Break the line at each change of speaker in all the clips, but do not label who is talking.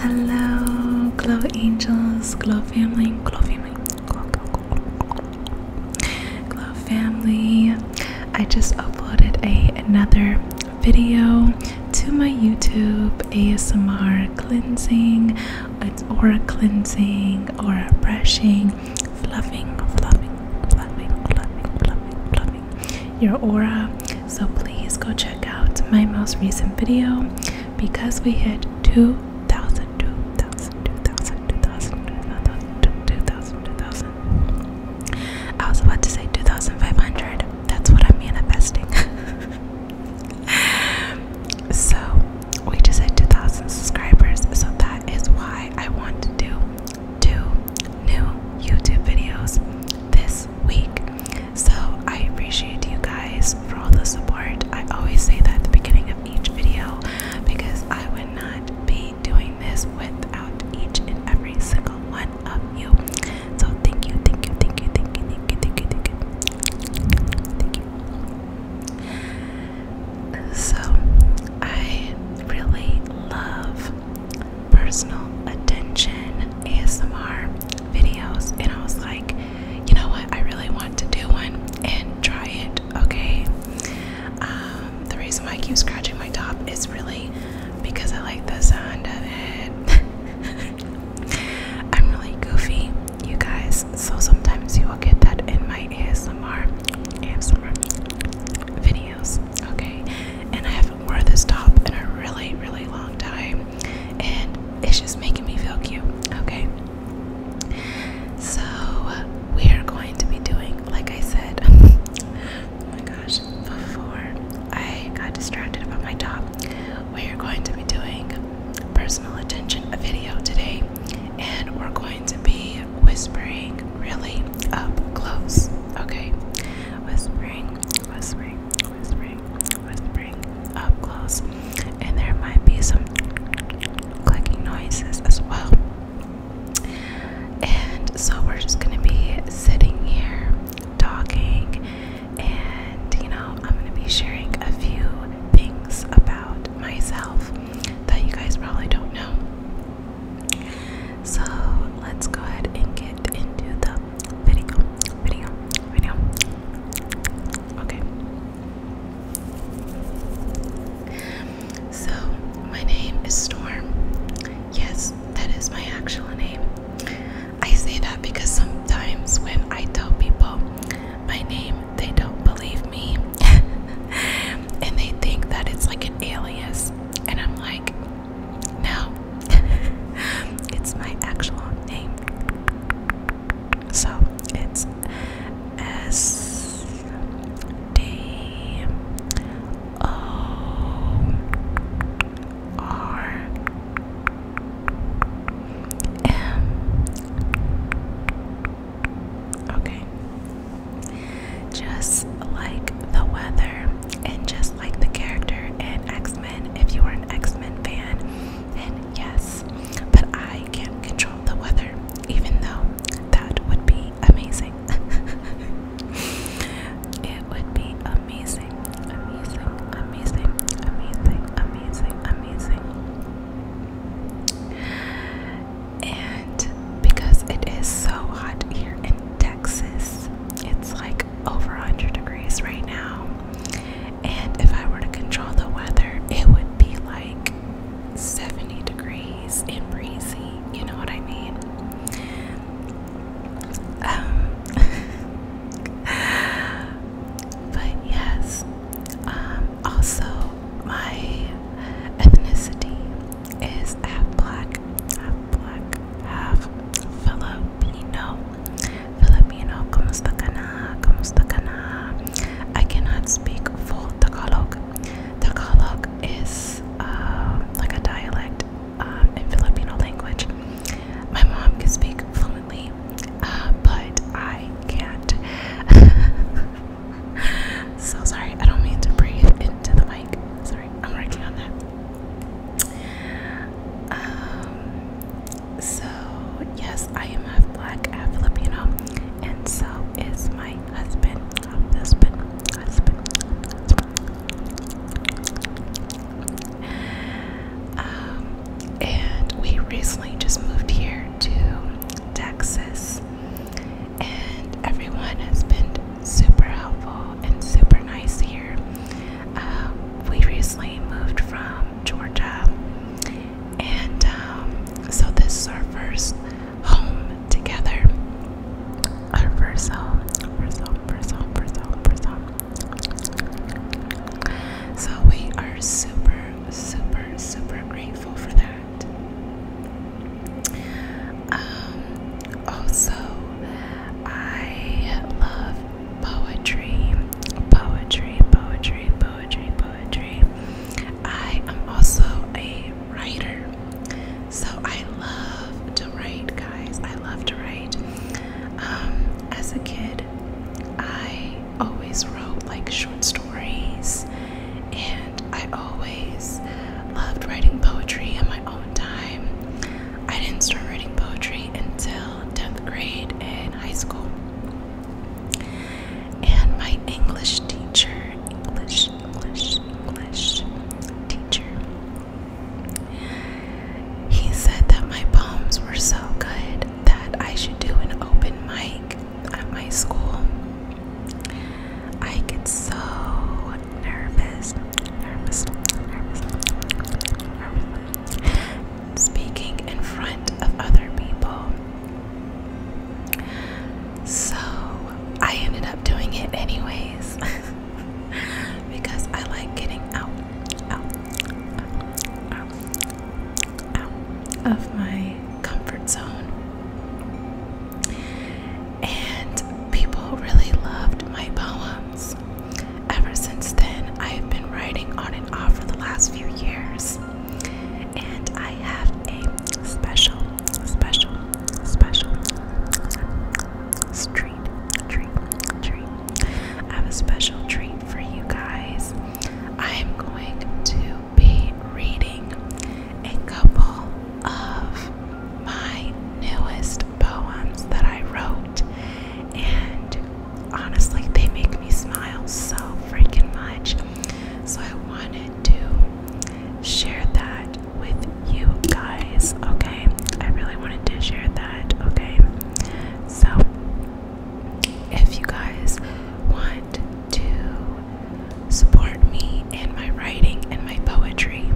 Hello, glow angels, glow family, glow family, glow, family. I just uploaded a another video to my YouTube ASMR cleansing. It's aura cleansing, aura brushing, fluffing, fluffing, fluffing, fluffing, fluffing, fluffing. Your aura so please go check out my most recent video because we hit 2,000, 2,000, I was about to say 2,500. That's what I mean manifesting. so we just hit 2,000 subscribers. So that is why I want to do two new YouTube videos this week. So I appreciate you guys for all the support. I always say that at the beginning of each video because I would not be doing this without each and every single one of you. So thank you, thank you, thank you, thank you, thank you, thank you, thank you. Thank you. So I really love personal attention ASMR videos, and I was like, you know what? I really want to do one and try it. Okay. Um, the reason why I keep scratching my top is really because I like the sound of it. I'm really goofy, you guys. So sometimes you will get that in my ASMR, ASMR videos. Okay. And I haven't worn this top in a really, really long time and it's just making me feel cute. Okay, so we are going to be doing, like I said, oh my gosh, before I got distracted about my top, we are going to be doing personal attention video today, and we're going to be whispering really up close. Okay, whispering, whispering, whispering, whispering up close, and there might be some clicking noises as well. And so we're just gonna be sitting here talking, and you know, I'm gonna be sharing a few things about myself that you guys probably don't know. So let's go ahead and get into the video, video, video. Okay. So, my name is Storm. Yes, that is my actual name. I say that because sometimes when I tell people my name, they don't believe me. and they think that it's like an alias. And I'm like, no, it's my actual name. So it's S D O R M. Okay. Just like the weather, and just like the character in X Men, if you are an X Men fan, and yes, but I can't control the weather, even though that would be amazing. it would be amazing, amazing, amazing, amazing, amazing, amazing. And because it is so hot here in Texas, it's like like over 100 degrees right now. And if I were to control the weather, it would be like 70 degrees and breezy. You know what I mean? Um, but yes, um, also my ethnicity is half black, half black, half Filipino. Filipino, kumusta ka na? Kumusta ka na? I cannot speak full Tagalog. Tagalog is um, like a dialect um, in Filipino language. My mom can speak fluently, uh, but I can't. so sorry, I don't mean to breathe into the mic. Sorry, I'm working on that. Um, so yes, I am half black, Filipino, and so is my husband. Um, husband, husband, um, and we recently just moved here to Texas, and everyone has been super helpful and super nice here. Uh, we recently moved from Georgia, and um, so this is our first home together. Our first home, first home, first home, first home, first home. So we are super, super, super grateful for that. Um, also, I love poetry, poetry, poetry, poetry, poetry. I am also a writer, so I love to write, guys. I love to write. Um, as a kid, I always wrote like short stories, and I always loved writing poetry in my own time. I didn't start writing poetry until 10th grade and high school. And my English teacher, English, English, English teacher, he said that my poems were so good that I should do an open mic at my school. I get so nervous, nervous, nervous speaking in front of other people. So I ended up doing it anyways because I like getting out, out, out, out, of my comfort zone. And people really loved my poems. Ever since then, I have been writing on and off for the last few years. And I have a special, special, special treat, treat, treat. I have a special treat for you guys. I am going to be reading a couple of my newest poems that I wrote, and honestly, they make me smile so freaking much. So I wanted to share that with you guys, okay? I really wanted to share that, okay? So if you guys want to support me and my writing and my poetry,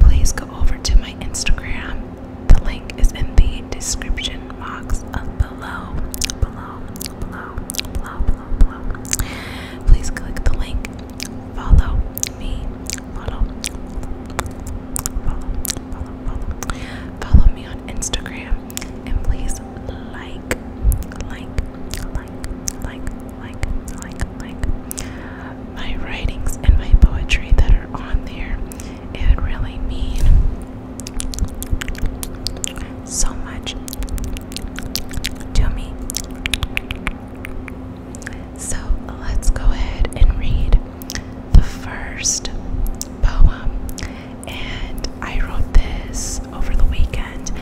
please go over to my Instagram. The link is in the description box of below, below, below, below, below, below. Please click the link. Follow me. Follow. Follow. Follow. Follow me on Instagram. And please like, like, like, like, like, like, like my writings and my poetry that are on there. It would really mean so much to me. So let's go ahead and read the first poem. And I wrote this over the weekend,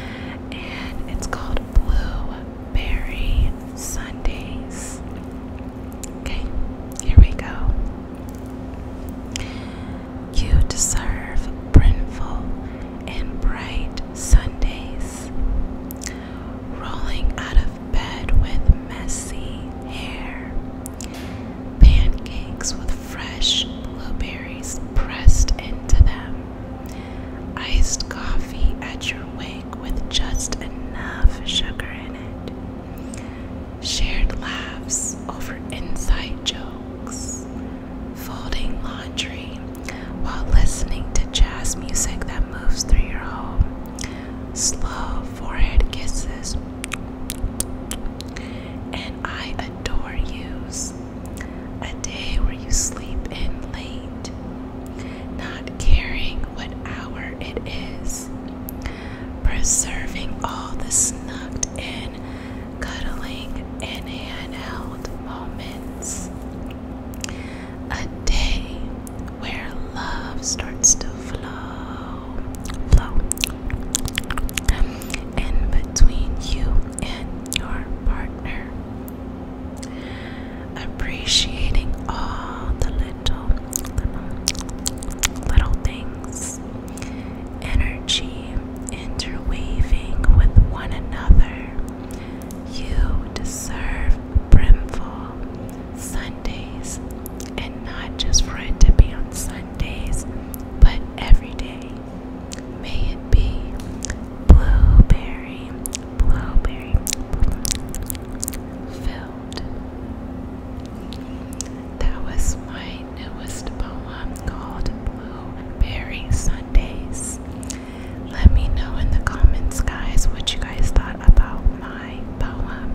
and it's called Blueberry Sundays. Okay, here we go. You deserve brimful and bright Sundays. Rolling out of bed with messy hair. Pancakes with fresh blueberries pressed into them. Iced coffee at your wake with just enough sugar in it shared laughs over inside jokes, folding laundry while listening to jazz music that moves through your home, slow forehead kisses, and I adore yous. A day where you sleep in late, not caring what hour it is, preserving all the snugged in cuddling and hand out moments. A day where love starts to flow, flow. And between you and your partner, appreciating all the little, little things energy interweaving with one another. You deserve brimful Sundays, and not just for it to be on Sundays, but every day. May it be blueberry, blueberry filled. That was my newest poem called Blueberry Sundays. Let me know in the comments, guys, what you guys thought about my poem.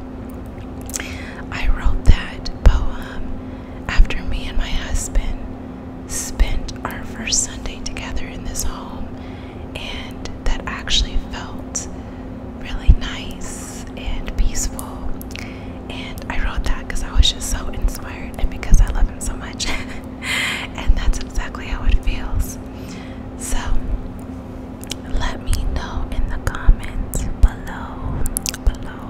I wrote that poem after me and my husband spent our first Sunday together in this home, and that actually felt really nice and peaceful. And I wrote that because I was just so inspired and because I love him so much. and that's exactly how it feels. So let me know in the comments below below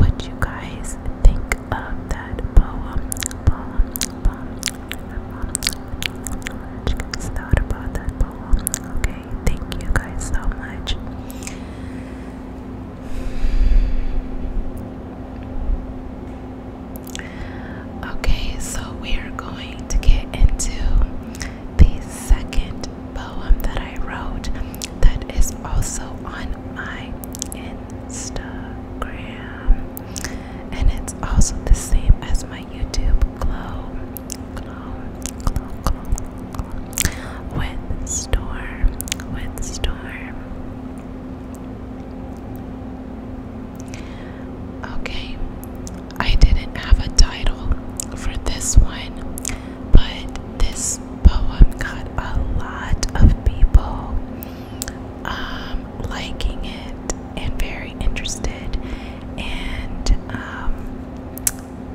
what you guys think of that poem. What you guys thought about that poem. Okay. Thank you guys so much. Okay, so we are going to get into the second poem that I wrote that is also on my Instagram. And it's also the same as my YouTube glow with storm, with storm. Okay, I didn't have a title for this one, but this poem got a lot of people um, liking it and very interested and um,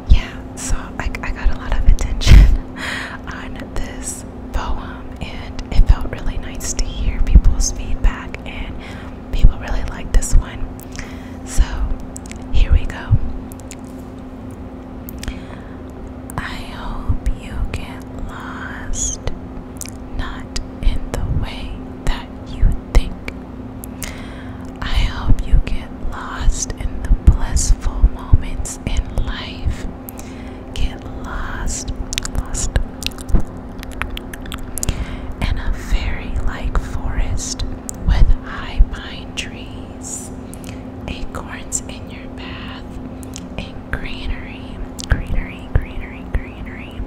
yeah, so I, I got a lot of attention on this poem, and it felt really nice to hear people's feedback, and people really like this one. So here we go. I hope you get lost, not in the way that you think I hope you get lost in the blissful moments in life. Get lost, lost in a fairy like forest with high pine trees, acorns in your path, and greenery, greenery, greenery, greenery,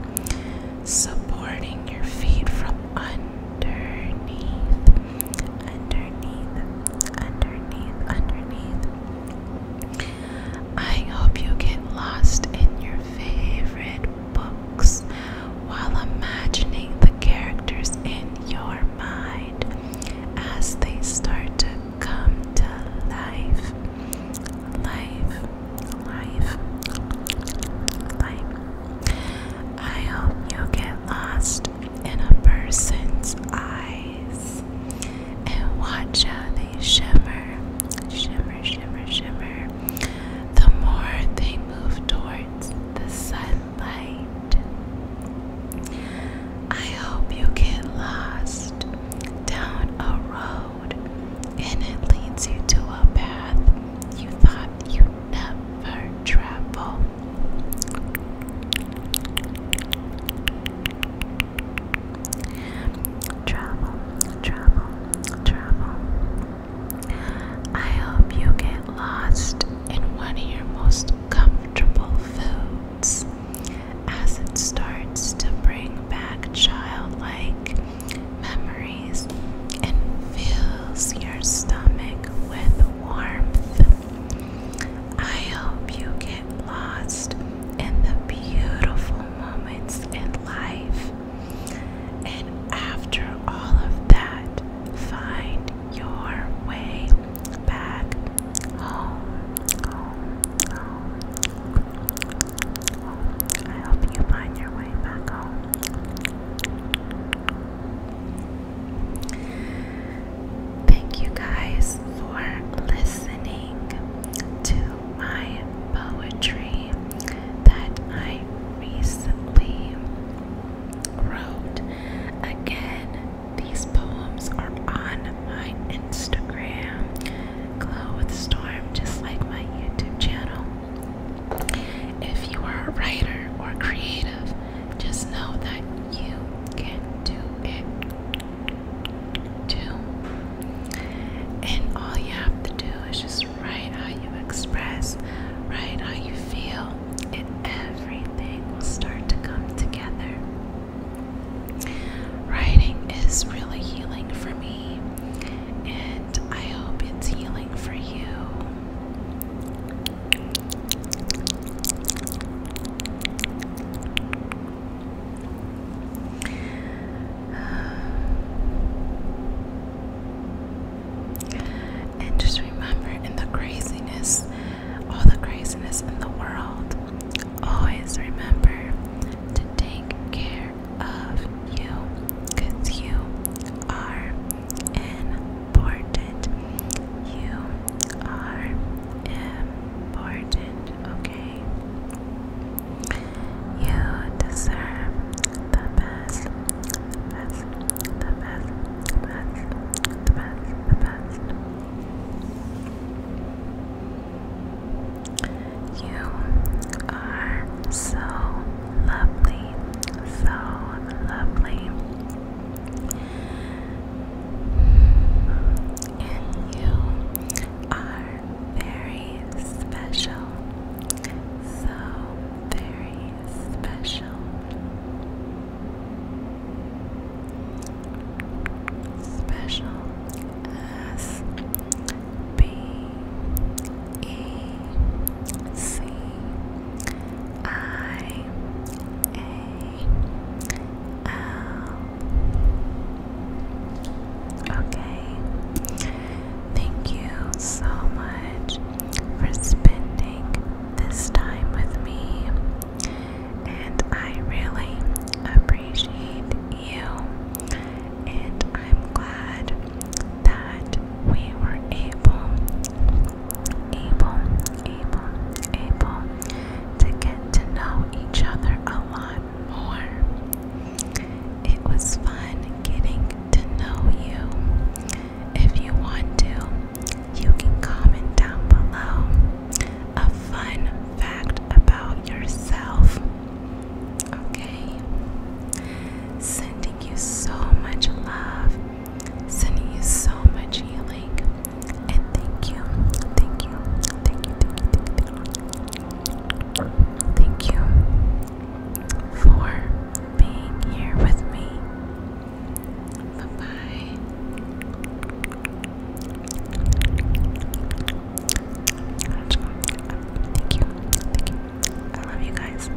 supporting your feet from underneath underneath, underneath, underneath. I hope you get lost in your favorite books while imagining the characters in your mind as they start to come to life. Life, life, life. I hope you get lost in a person's eyes and watch how they shimmer, shimmer, shimmer, shimmer. The more they move towards the sunlight. I hope you get lost down a road and it leads you to a path you thought you'd never travel. Travel, travel, travel. I hope you get lost in one of your most comfortable foods as it starts to bring back childlike memories and fills your stomach with warmth. I hope you get lost in the beautiful moments in life. And after all of that, find your way back home. I hope you find your way back home. Thank you guys for listening to my poetry that I recently wrote. Again, these poems are on my Instagram, Glow with Storm, just like my YouTube channel. If you are a writer or creative, just know that you can do it too. And all you have to do is just write how you express, write how you feel, and everything will start to come together. Writing is really healing for me, and I hope it's healing for you. And just remember in the craziness, all the craziness in the world, always remember to take care of you because you are important. You are important, okay? You deserve the best, the best, the best, the best, the best, the best. You are so lovely, so lovely. And you are very special. So very special. Special S B E C I A um, okay. Thank you so much for spending this time with me, and I really appreciate you. And I'm glad that we were able able, able, able to get to know each other a lot more. It was fun getting to know you. If you want to, you can comment down below a fun fact about yourself. Okay? Sending you so much love, sending you so much healing. And thank you, thank you, thank you, thank you, thank you, thank you for being here with me. Bye bye. Thank you, thank you. I love you guys.